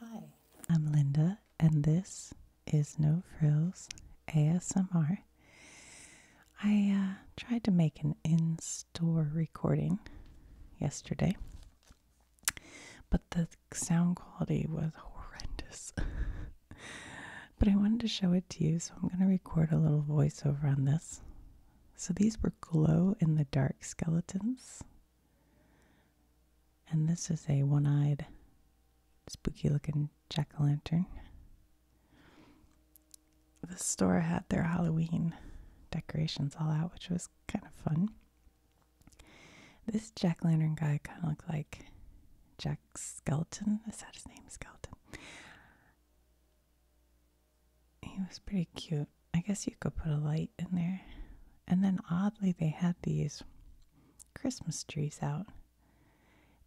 Hi, I'm Linda, and this is No Frills ASMR. I uh, tried to make an in store recording yesterday, but the sound quality was horrendous. but I wanted to show it to you, so I'm going to record a little voiceover on this. So these were glow in the dark skeletons and this is a one eyed, spooky looking jack o' lantern. The store had their Halloween decorations all out, which was kind of fun. This jack o' lantern guy kind of looked like Jack Skeleton. I said his name? Skeleton. He was pretty cute. I guess you could put a light in there. And then oddly, they had these Christmas trees out.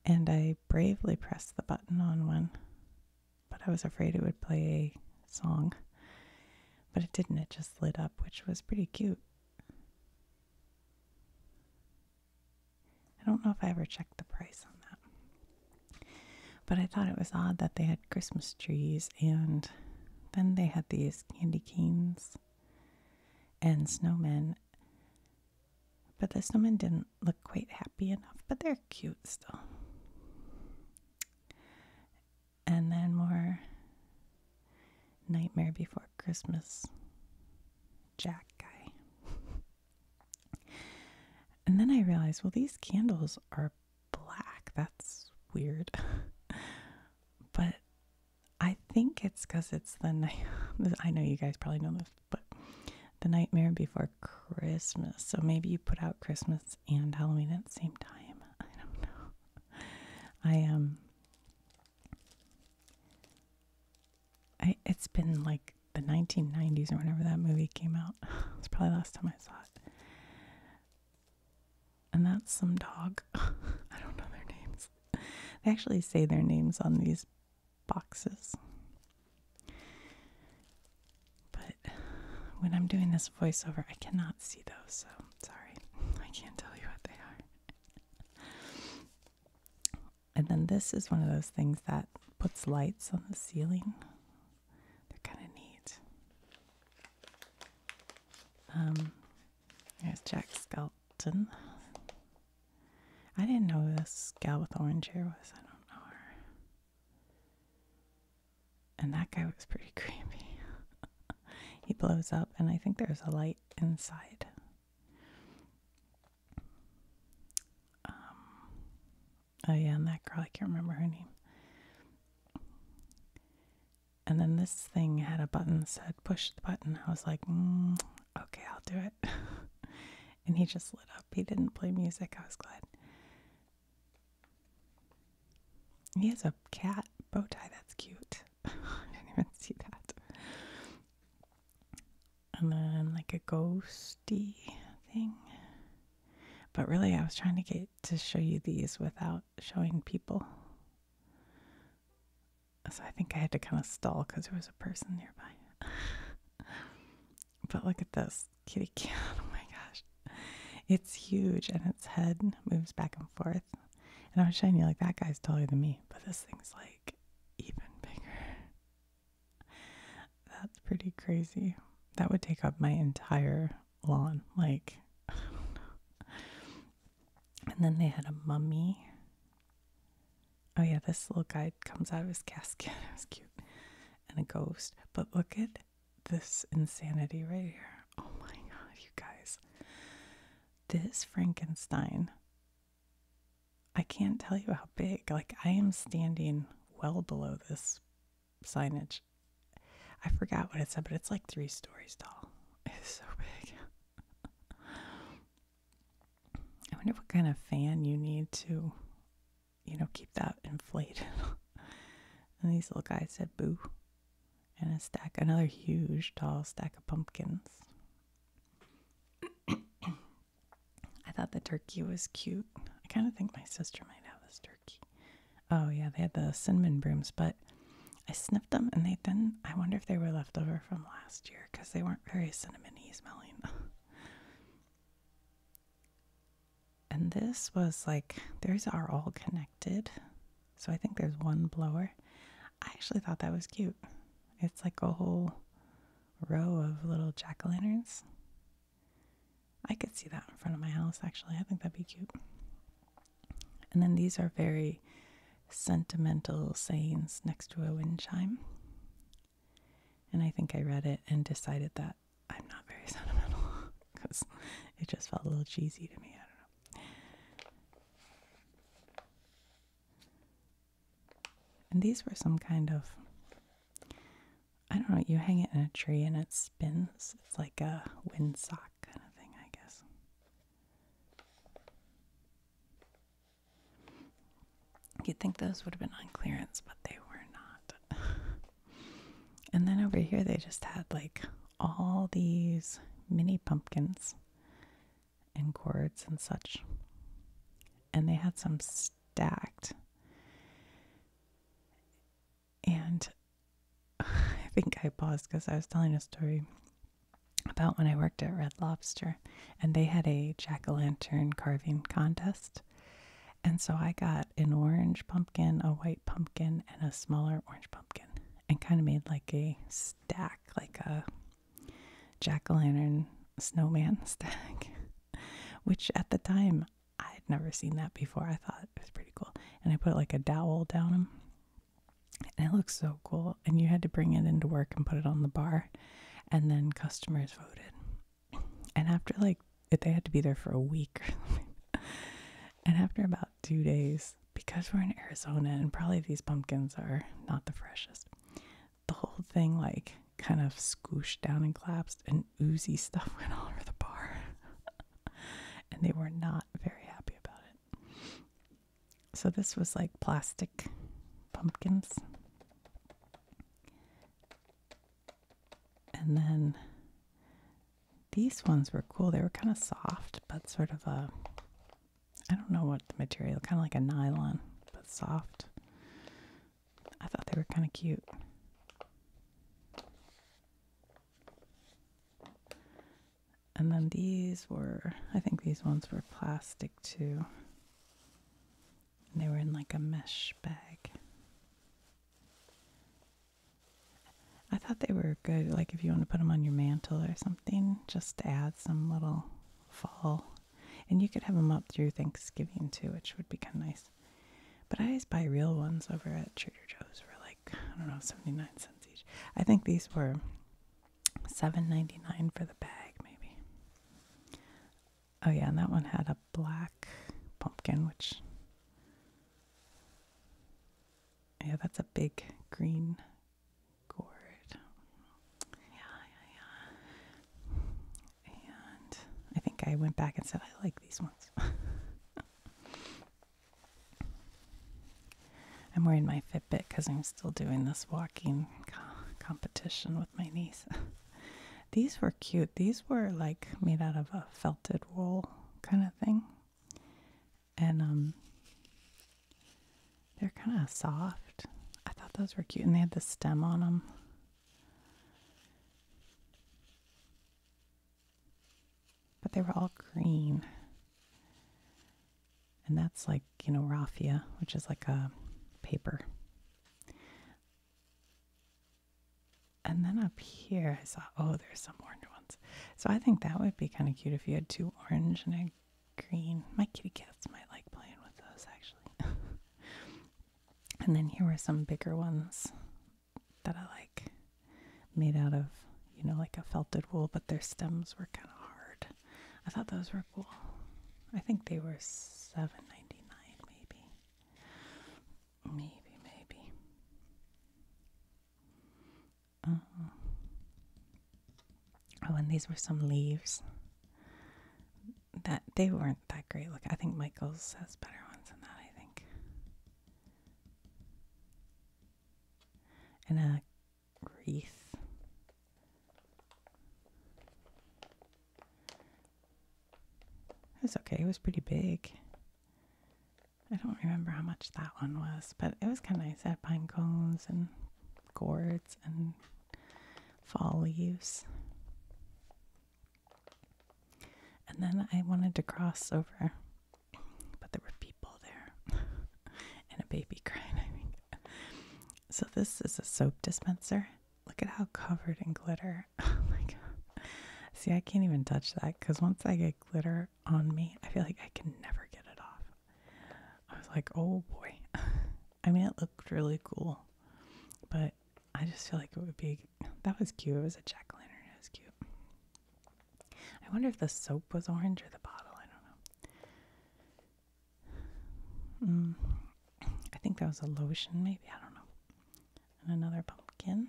And I bravely pressed the button on one, but I was afraid it would play a song. But it didn't, it just lit up, which was pretty cute. I don't know if I ever checked the price on that. But I thought it was odd that they had. Christmas trees, and then they had these candy canes and snowmen. But this snowmen didn't look quite happy enough, but they're cute still. And then more Nightmare Before Christmas Jack guy. and then I realized, well, these candles are black. That's weird. but I think it's because it's the night. I know you guys probably know this, but the nightmare before Christmas. So maybe you put out Christmas and Halloween at the same time. I don't know. I um. I it's been like the 1990s or whenever that movie came out. it's probably the last time I saw it. And that's some dog. I don't know their names. They actually say their names on these boxes. But when I'm doing this voiceover, I cannot see those, so sorry. I can't tell you what they are. and then this is one of those things that puts lights on the ceiling. They're kind of neat. Um, there's Jack Skelton. I didn't know this gal with orange hair was. I don't know her. And that guy was pretty creepy. he blows up, and I think there's a light inside. Um, Oh, yeah, and that girl, I can't remember her name. And then this thing had a button said push the button. I was like, mm, okay, I'll do it. and he just lit up. He didn't play music. I was glad. He has a cat bow tie. That's cute. I didn't even see that. And then like a ghosty thing. But really, I was trying to get to show you these without showing people. So I think I had to kind of stall because there was a person nearby. but look at this kitty cat. Oh my gosh. It's huge and its head moves back and forth. And I was showing you, like, that guy's taller than me, but this thing's like even bigger. That's pretty crazy. That would take up my entire lawn. Like, And then they had a mummy. Oh, yeah, this little guy comes out of his casket. It was cute. And a ghost. But look at this insanity right here. Oh my god, you guys. This Frankenstein. I can't tell you how big. Like, I am standing well below this signage. I forgot what it said, but it's like three stories tall. It's so big. I wonder what kind of fan you need to, you know, keep that inflated. and these little guys said boo. And a stack, another huge tall stack of pumpkins. I thought the turkey was cute. I kind of think my sister might have this turkey. Oh, yeah, they had the cinnamon brooms, but I sniffed them and they didn't. I wonder if they were leftover from last year because they weren't very cinnamony smelling. and this was like, these are all connected. So I think there's one blower. I actually thought that was cute. It's like a whole row of little jack o' lanterns. I could see that in front of my house, actually. I think that'd be cute. And then these are very sentimental sayings next to a wind chime. And I think I read it and decided that I'm not very sentimental because it just felt a little cheesy to me. I don't know. And these were some kind of I don't know, you hang it in a tree and it spins. It's like a windsock kind of thing, I guess. You'd think those would have been on clearance, but they were not. and then over here, they just had like all these mini pumpkins and gourds and such. And they had some stacked. And I think I paused because I was telling a story about when I worked at Red Lobster and they had a jack o' lantern carving contest. And so I got an orange pumpkin, a white pumpkin, and a smaller orange pumpkin and kind of made like a stack, like a jack o' lantern snowman stack, which at the time I had never seen that before. I thought it was pretty cool. And I put like a dowel down him. And it looks so cool. And you had to bring it into work and put it on the bar. And then customers voted. And after like, they had to be there for a week And after about two days, because we're in Arizona and probably these pumpkins are not the freshest, the whole thing like kind of squooshed down and collapsed, and oozy stuff went all over the bar. and they were not very happy about it. So, this was like plastic pumpkins. And then these ones were cool. They were kind of soft, but sort of a, I don't know what the material, kind of like a nylon, but soft. I thought they were kind of cute. And then these were, I think these ones were plastic too. And they were in like a mesh bag. I thought they were good, like if you want to put them on your mantle or something, just to add some little fall. And you could have them up through Thanksgiving too, which would be kind of nice. But I always buy real ones over at Trader Joe's for like, I don't know, 79 cents each. I think these were seven ninety nine for the bag, maybe. Oh, yeah, and that one had a black pumpkin, which. Yeah, that's a big green gourd. Yeah, yeah, yeah and I think I went back and said I like these ones. I'm wearing my Fitbit because I'm still doing this walking competition with my niece. these were cute. These were like made out of a felted wool kind of thing, and um, they're kind of soft. I thought those were cute, and they had the stem on them. But they were all green. And that's like, you know, raffia, which is like a paper. And then up here, I saw, oh, there's some orange ones. So I think that would be kind of cute if you had two orange and a green. My kitty cats might like playing with those, actually. And then here were some bigger ones that I like made out of, you know, like a felted wool, but their stems were kind of hard. I thought those were cool. I think they were 7.99 maybe. Maybe, maybe. Oh. Oh, and these were some leaves that they weren't that great. Look, I think Michaels has better ones than that. I think. And a uh, wreath. It was okay. It was pretty big. I don't remember how much that one was, but it was kind of nice. It had pine cones and gourds and fall leaves. And then I wanted to cross over, but there were people there and a baby crying, So, this is a soap dispenser. Look at how covered in glitter. oh my god. See, I can't even touch that because once I get glitter on me, I feel like I can never get it off. I was like, oh boy. I mean, it looked really cool, but I just feel like it would be that was cute. It was a jack lantern. It was cute. I wonder if the soap was orange or the bottle. I don't know. Mm. I think that was a lotion, maybe. I don't know. And another pumpkin.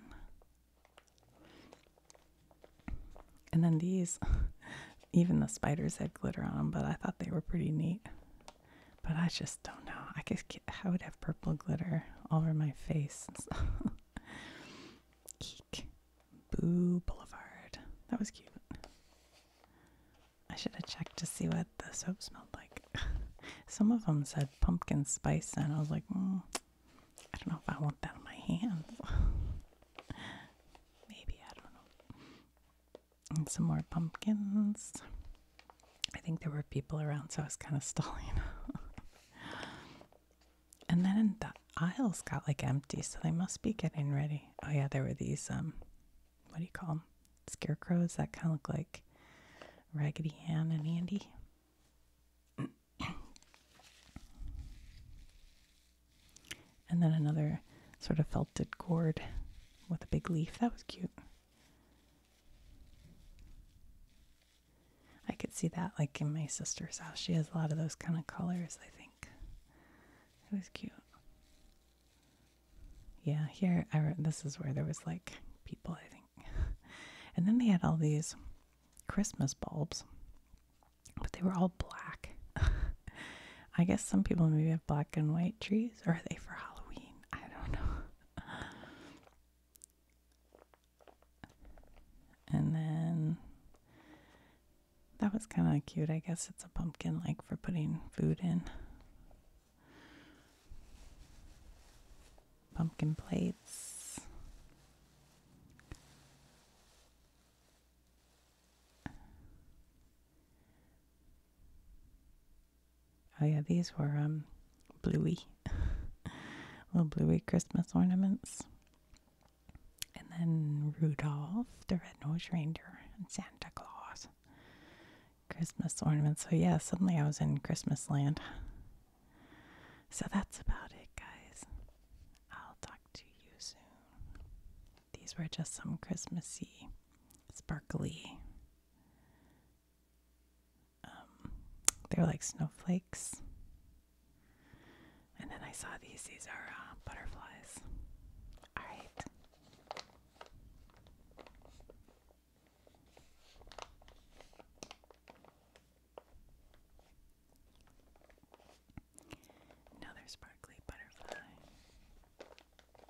And then these, even the spiders had glitter on them, but I thought they were pretty neat. But I just don't know. I guess I would have purple glitter all over my face. Eek. Boo Boulevard. That was cute. I should have checked to see what the soap smelled like. Some of them said pumpkin spice, and I was like, hmm, I don't know if I want that on my hands. Maybe, I don't know and some more pumpkins. I think there were people around, so I was kind of stalling. and then the aisles got like empty, so they must be getting ready. Oh yeah, there were these um, what do you call them? Scarecrows that kind of look like Raggedy Ann and Andy. and then another sort of felted gourd with a big leaf. That was cute. I could see that like in my sister's house. She has a lot of those kind of colors, I think. It was cute. Yeah, here I re- this is where there was like people, I think. and then they had all these Christmas bulbs, but they were all black. I guess some people maybe have black and white trees, or are they for Halloween? I don't know and then that was kind of cute. I guess it's a pumpkin like for putting food in. Pumpkin plates. Oh yeah, these were um bluey. Little bluey Christmas ornaments. And then Rudolph, the red-nosed reindeer, and Santa Claus. Christmas ornaments. So yeah, suddenly I was in Christmas land. So that's about it, guys. I'll talk to you soon. These were just some Christmassy, sparkly um, they're like snowflakes. And then I saw these. These are uh, butterflies. All right. Another sparkly butterfly.